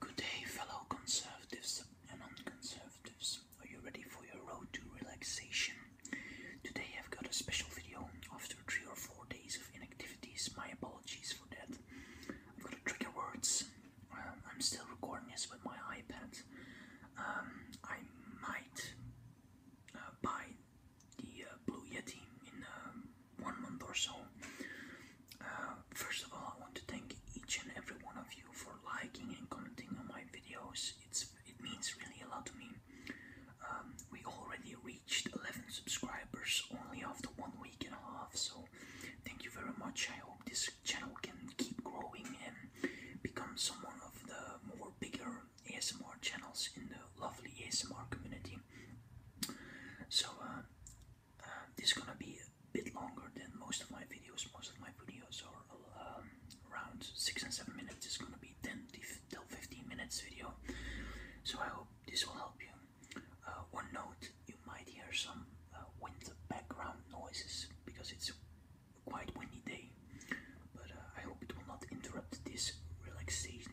Good day, fellow conservatives and non-conservatives. Are you ready for your road to relaxation? Today I've got a special video. After three or four days of inactivities, my apologies for that. I've got a trigger words. Um, I'm still recording this with my iPad. Um, I might uh, buy the uh, Blue Yeti in um, one month or so. Uh, first of all, I want to thank each and every one of you for liking and commenting on my videos. It's it means really a lot to me. Um, we already reached 11 subscribers only after one week and a half, so thank you very much. I hope this channel can keep growing and become someone of the more bigger ASMR channels in the lovely ASMR community. So uh, um, this is gonna be a bit longer than most of my videos. Most of my videos are um, around six and seven minutes. It's gonna be 10 till 15 minutes video. So I hope this will help you. Uh, one note, you might hear some uh, wind background noises because it's a quite windy day. But uh, I hope it will not interrupt this relaxation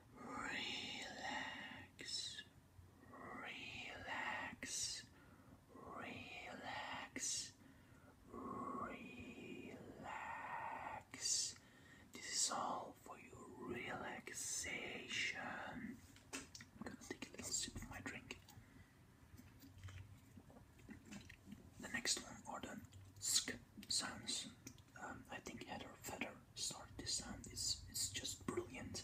Relax, relax, relax, relax. This is all for your relaxation. I'm gonna take a little sip of my drink. The next one are the um, I think Heather Feather started this sound. It's it's just brilliant.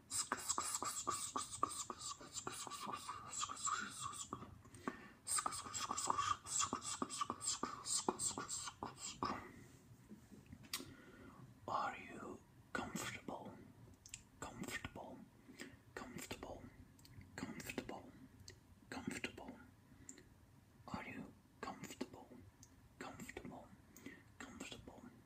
Are you comfortable? Comfortable, comfortable, comfortable, comfortable. Are you comfortable? Comfortable, comfortable,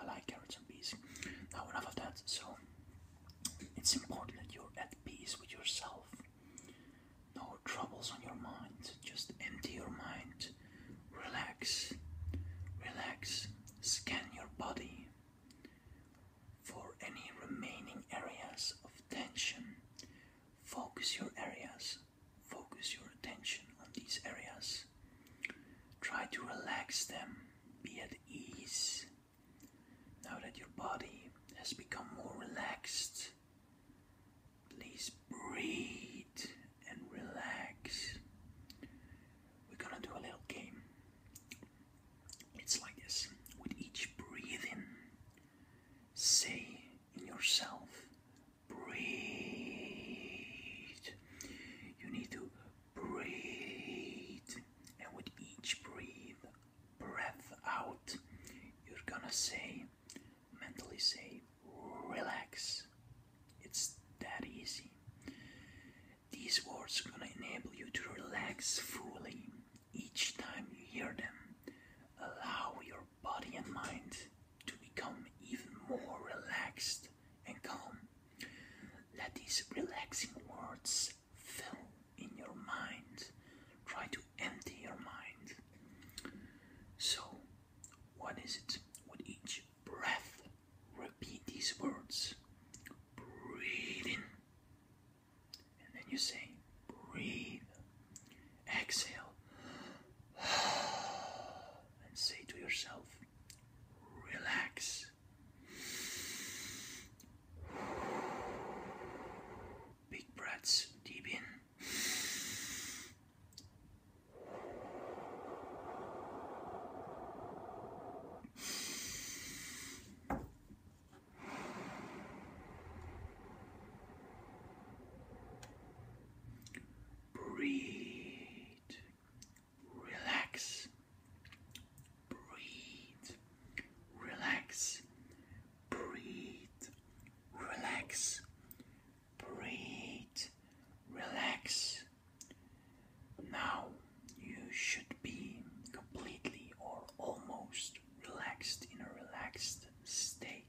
I like carrots and peas. Now, enough of that. So, it's important that you're at peace with yourself. No troubles on your mind. Just empty your mind. Relax. Relax. Scan your body for any remaining areas of tension. Focus your areas. Focus your attention on these areas. Try to relax them be at ease now that your body has become more relaxed. Please breathe and relax. We're gonna do a little game. It's like this with each breathing, say in yourself, breathe. You need to breathe. And with each breathe, breath out, you're gonna say, mentally say, relax. It's that easy. These words are gonna enable you to relax fully each time you hear them. Allow your body and mind to become even more relaxed and calm. Let these relaxing words fill in your mind. Try to empty your mind. So, what is it? With each breath, repeat these words. Breathe in. And then you say, breathe. Exhale. And say to yourself, relax. Big breaths, deep in. Breathe relax, breathe, relax, breathe, relax, breathe, relax. Now you should be completely or almost relaxed in a relaxed state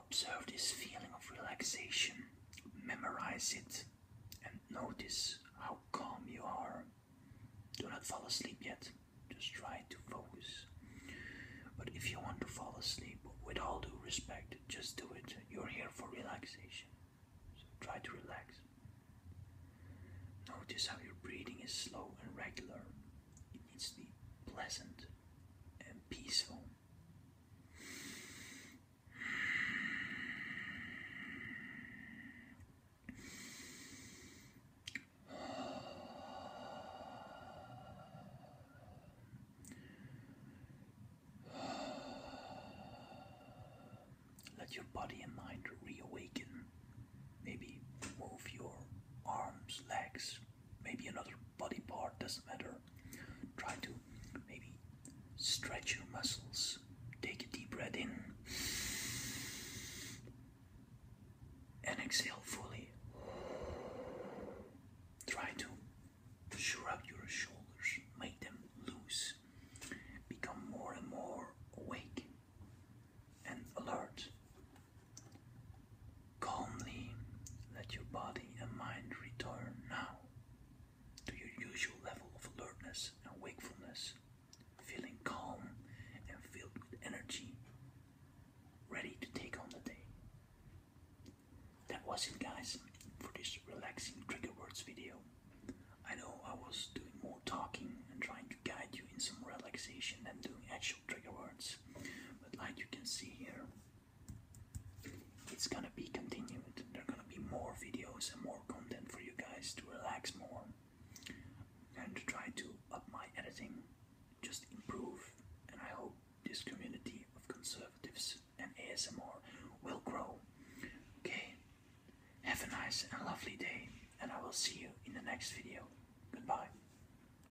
Observe this feeling of relaxation, memorize it, and notice how calm you are. Do not fall asleep yet, just try to focus. But if you want to fall asleep, with all due respect, just do it. You're here for relaxation, so try to relax. Notice how your breathing is slow and regular. It needs to be pleasant and peaceful. Let your body and mind reawaken. Maybe move your arms, legs, maybe another body part, doesn't matter. Try to maybe stretch your muscles. Take a deep breath in and exhale fully. Try to shrug your shoulders, make them loose, become more and more awake and alert Calmly let your body and mind return now to your usual level of alertness and wakefulness, feeling calm and filled with energy, ready to take on the day. That was it, guys, for this relaxing trigger words video. I know I was doing more talking and trying to guide you in some relaxation than doing actual trigger words, but like you can see here, it's gonna be continued. There are gonna be more videos and more content for you guys to relax more. and try to up my editing, just improve, and I hope this community of conservatives and ASMR will grow. Okay, have a nice and lovely day, and I will see you in the next video. Goodbye.